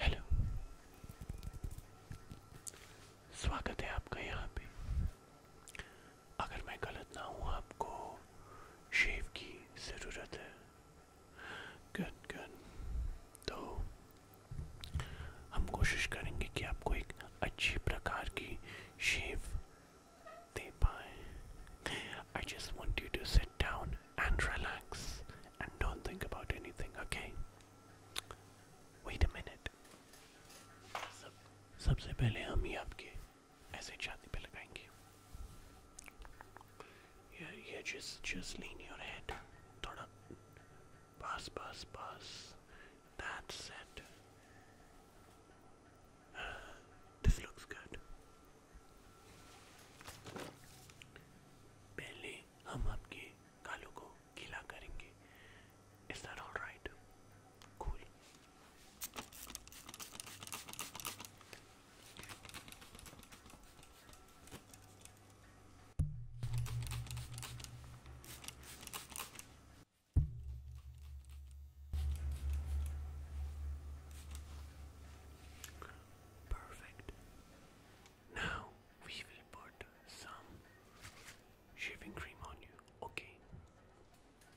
Hello स्वागत है आपका यहाँ पे अगर मैं गलत ना हूँ आपको शेव की ज़रूरत है good good तो हम कोशिश करेंगे कि आपको एक अच्छी प्रकार की शेप दे पाए I just want you to sit down and relax and don't think about anything okay Wait a minute सब सबसे पहले हम ही आपके as a चांदी पे लगाएंगे ये ये just just lean your head थोड़ा पास पास पास that's it uh, this looks good पहले हम आपके गालों को गीला करेंगे Is that all right? Cool. Perfect. Now we will put some shaving cream on you, okay?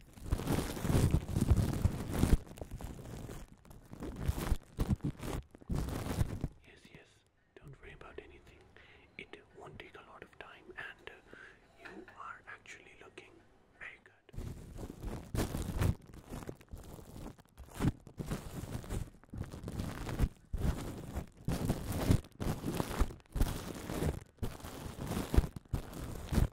Yes, yes, don't worry about anything. It won't take a lot of time, and uh, you are actually looking very good.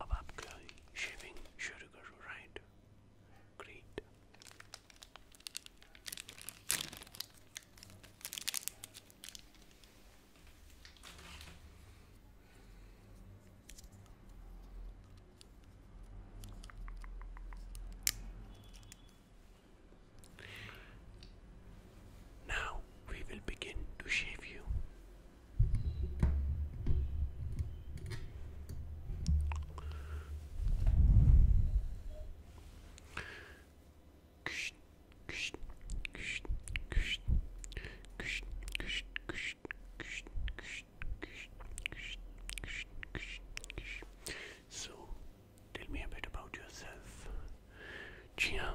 Ababka shaving sugar, right? Great. Now we will begin to shave you so, tell me a bit about yourself. Chia.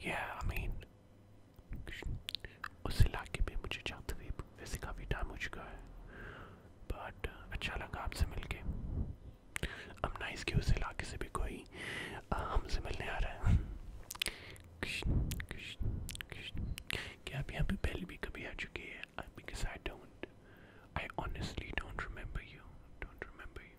Yeah, I mean, उस इलाके में मुझे जाते हुए वैसे काफ़ी time हो चुका है बट अच्छा लगा आपसे मिल के अब ना इसके उस इलाके से भी कोई हमसे मिलने आ रहा है क्या आप यहाँ पे पहले भी कभी आ चुके हैं because I don't, I honestly don't remember you, don't remember you.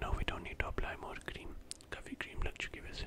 No, we don't need to apply more cream. काफी cream लग चुकी वैसे.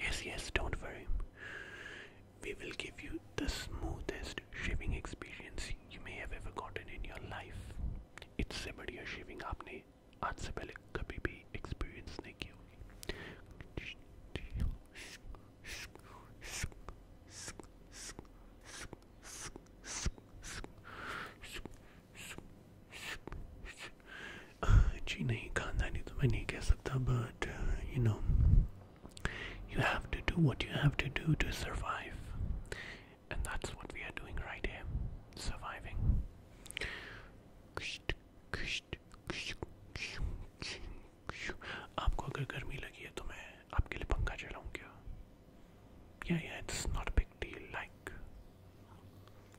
Yes, yes, don't worry. We will give you the smoothest shaving experience you may have ever gotten in your life. It's a shaving आपने आज से पहले कभी जी नहीं uh, you have to do what you have to do to survive and that's what we are doing right here surviving आपको अगर गर्मी लगी है तो मैं आपके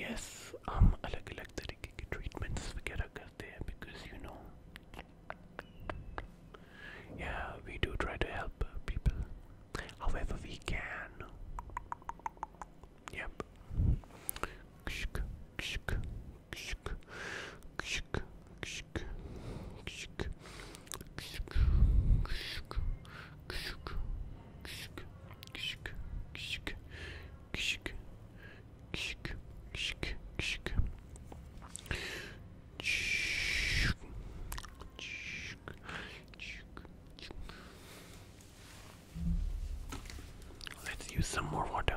Yes, हम um, अलग अलग तरीके के ट्रीटमेंट्स वगैरह करते हैं because you Yeah, we do try to help people however we can. Yep. Let's use some more water.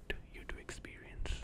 want you to experience.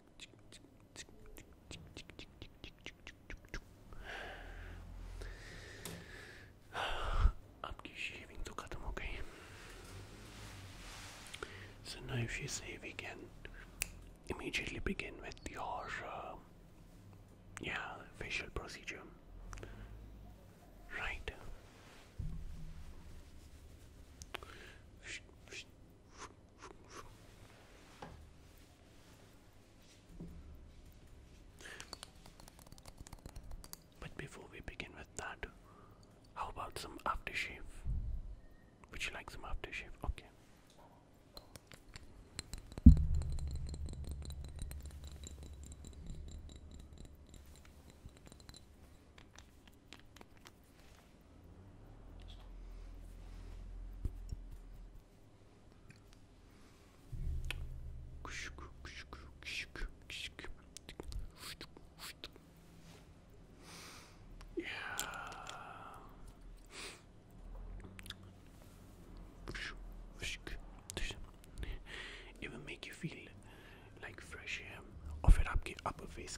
Abgeschieden to cut So now if you say we can immediately begin with your um, yeah facial procedure. Right. But before we begin with that, how about some aftershave? Would you like some aftershave? Okay. It will make you feel like fresh air और फिर आपके upper face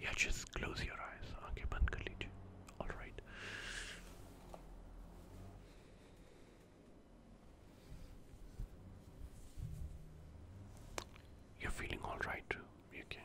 Yeah, just close your eyes. Okay, band All right. You're feeling all right, okay?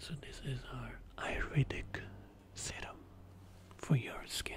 So this is our iridic serum for your skin.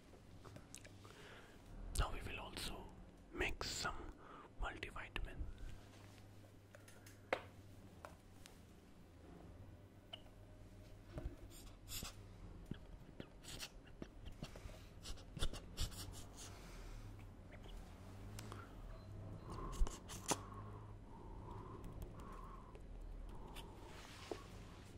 Now we will also mix some multivitamin.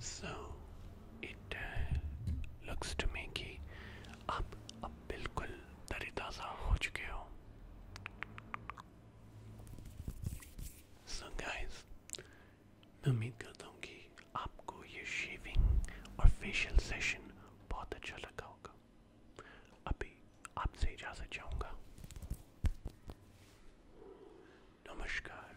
So it uh, looks to make up a अब बिल्कुल तरीताज़ा हो चुके हो so guys मैं उम्मीद करता हूँ कि आपको ये शेविंग और फेशियल सेशन बहुत अच्छा लगा होगा अभी आपसे इजाज़त चाहूँगा नमस्कार